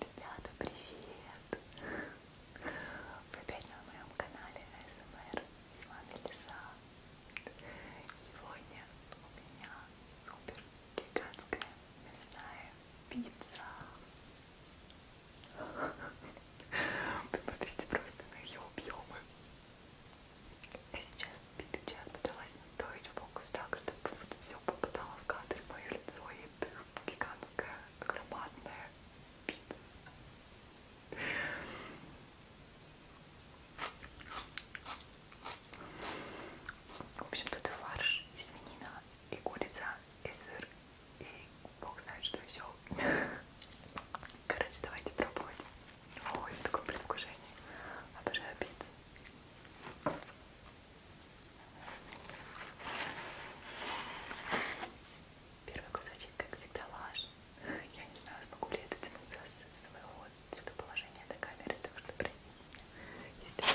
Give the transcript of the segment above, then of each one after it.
Ребята, привет! Вы опять на моем канале СМР. С вами Лиза. Сегодня у меня супер гигантская мясная пицца. Посмотрите просто на ее объемы. Я сейчас битый час пыталась настроить фокус так, чтобы вот все попадало в кадр мое лицо и это гигантская, громадная бита. В общем, тут и фарш, и свинина, и курица, и сыр, и бог знает, что еще. Короче, давайте пробовать. Ой, такое предвкушение. Обожаю пиццу. Первый кусочек, как всегда, влажный. Я не знаю, смогу ли я дотянуться с своего сюда положения до камеры, так что простите меня, если что.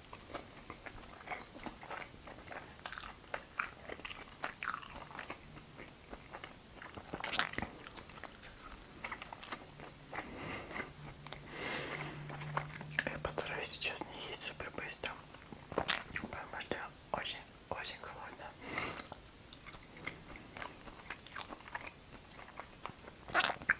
Я постараюсь сейчас не есть супер быстро, потому что очень-очень холодно.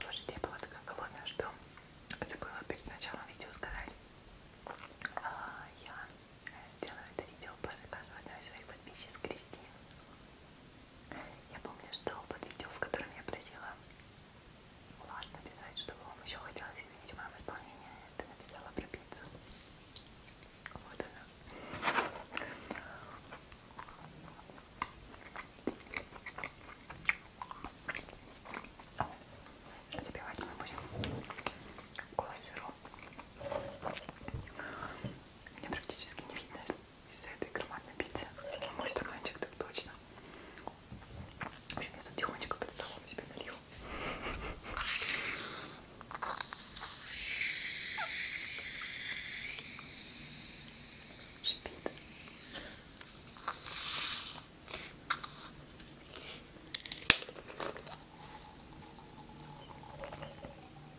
Слушайте, я была такая голодная, что забыла перед началом видео сказать. А, я делаю это видео по заказу одной из своих подписчиц Кристин. Я помню, что под видео, в котором я просила вас написать, что вам еще хотелось увидеть в моем исполнении, ты написала про пиццу. Вот она. Забивать мы будем колой сыром. Меня практически не видно из-за этой громадной пиццы. Мой стаканчик так точно. В общем, я тут тихонечко под столом себе налью. Шипит.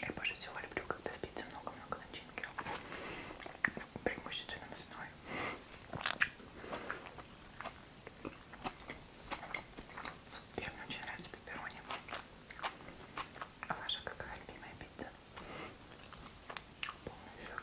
Я больше всего люблю, когда в пицце много-много начинки преимущественно мясной. И мне очень нравится пепперони. А ваша какая любимая пицца? Полный шок.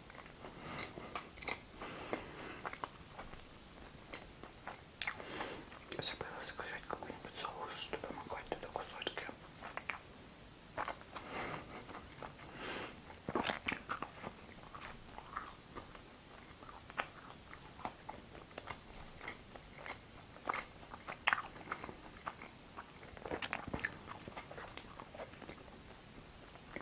Забыла заказать какой-нибудь соус, чтобы могла туда кусочки.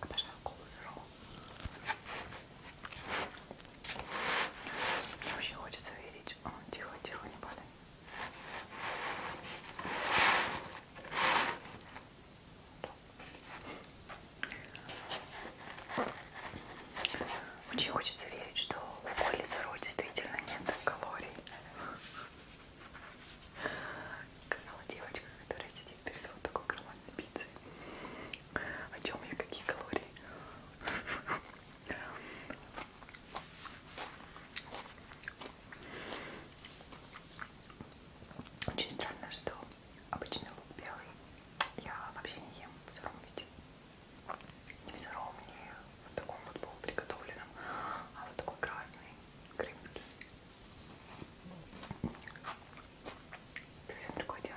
Обожаю а, колу Zero. Мне очень хочется верить. О, тихо, тихо, не падай. Очень хочется верить, что в коле Zero действительно нет калорий. Сказала девочка, которая сидит перед вот такой громадной пиццей. О чем я? Какие калории? Очень странно, что обычный лук белый я вообще не ем в сыром виде. И все равно мне в таком вот был приготовленном, а вот такой красный, крымский. Это все другое дело.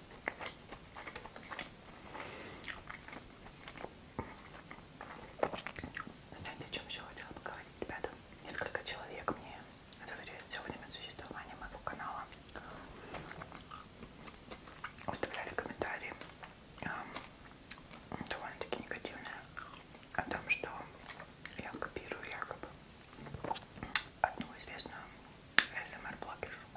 Знаете, о чем еще хотела поговорить, ребята? Несколько человек мне за все время существования моего канала оставляли комментарии эм, довольно-таки негативные о том, что я копирую якобы одну известную СМР-блогершу.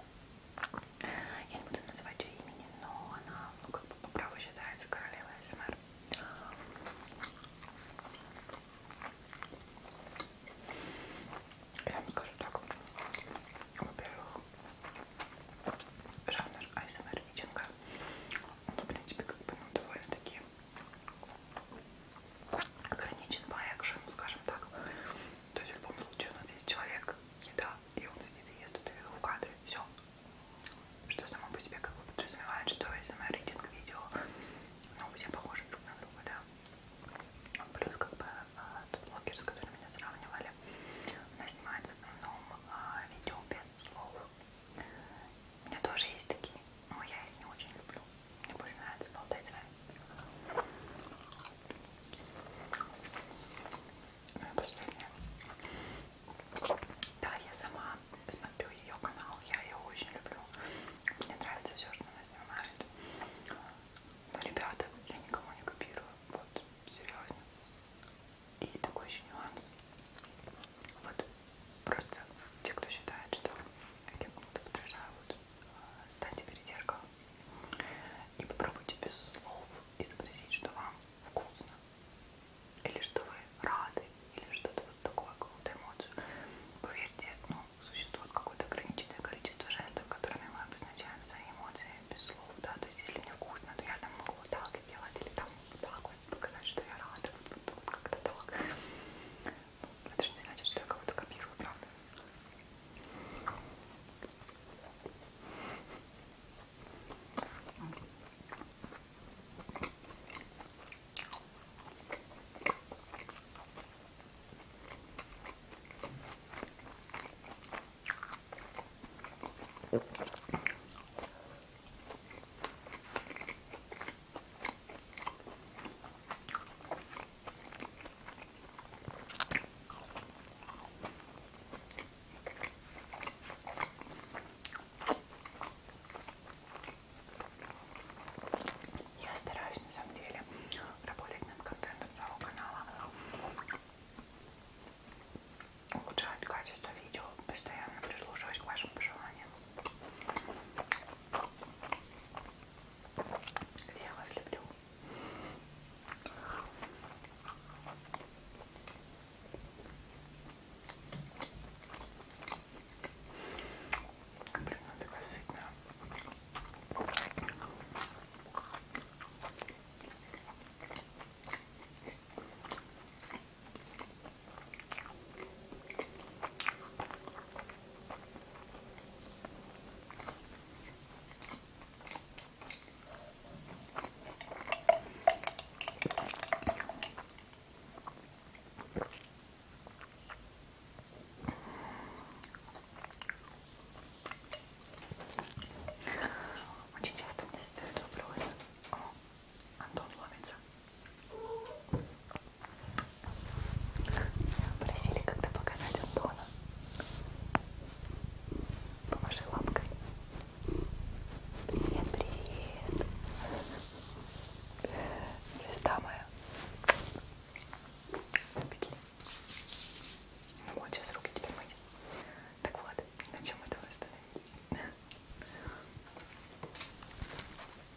Эм Я не буду называть ее имени, но она, ну, как бы по праву считается королевой СМР. Эм Я вам скажу так. Во-первых, жанр ASMR-митинга, эм он, в принципе, как бы, ну, довольно-таки ограничен по экшену, скажем так. То есть в любом случае у нас есть человек, еда, и он сидит и ест эту еду в кадре. Все. Что само по себе как бы подразумевает, что СМР эм рейтинг видео, ну, все похожи друг на друга, да. Плюс как бы а, тот блогер, с которым меня сравнивали, она снимает в основном а, видео без слов. У меня тоже есть такие но я их не очень люблю. Мне больше нравится болтать с вами. Ну и последнее. Да, я сама смотрю ее канал, я ее очень люблю. Мне нравится все, что она снимает. Но, ребята, я никого не копирую. Вот, серьезно. И такой еще нюанс. Вот, просто те, кто считает, что я кому-то подражаю, вот, вот, встаньте перед зеркалом и попробуйте без слов изобразить, что вам вкусно, или что вы рады, или что-то вот такое, какую-то эмоцию. Поверьте, ну, существует какое-то ограниченное количество жестов, которыми мы обозначаем свои эмоции без слов, да, то есть если мне вкусно, то я там могу вот так сделать, или там вот так вот показать, что я рада, вот, вот, вот как-то так. Это же не значит, что я кого-то копила, правда? Я стараюсь на самом деле работать над контентом своего канала, улучшать качество видео, постоянно прислушиваюсь к вашим пожеланиям. Я вас люблю. Блин, она такая сытная. Очень часто мне задают вопрос, Антон ломится. Просили как-то показать Антона. Помаши лапкой. Привет, привет. Звезда моя. Беги. Ну вот, сейчас руки теперь мыть. Так вот, на чем мы там остановились?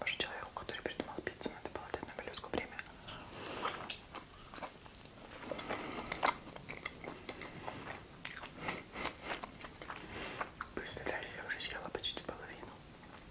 Может, человеку, который придумал пиццу, надо было дать на моллюску время. Представляете, я уже съела почти половину.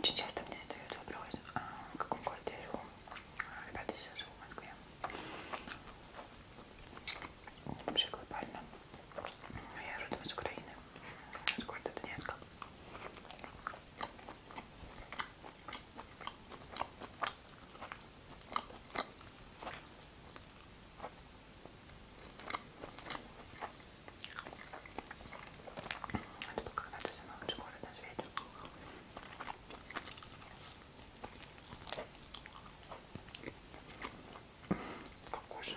Очень часто мне задают вопрос, а в каком городе я живу. А, ребята, я сейчас живу в Москве. Вообще глобально. Я родом из Украины с города Донецка. Это был когда-то самый лучший город на свете. Какой же?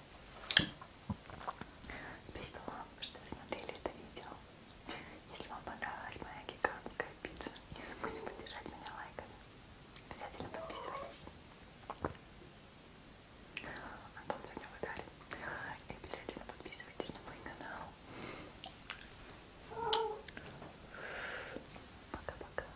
Спасибо вам, что смотрели это видео. Если вам понравилась моя гигантская пицца, не забудьте поддержать меня лайками. Обязательно подписывайтесь. Антон сегодня выдали. И обязательно подписывайтесь на мой канал. Пока-пока.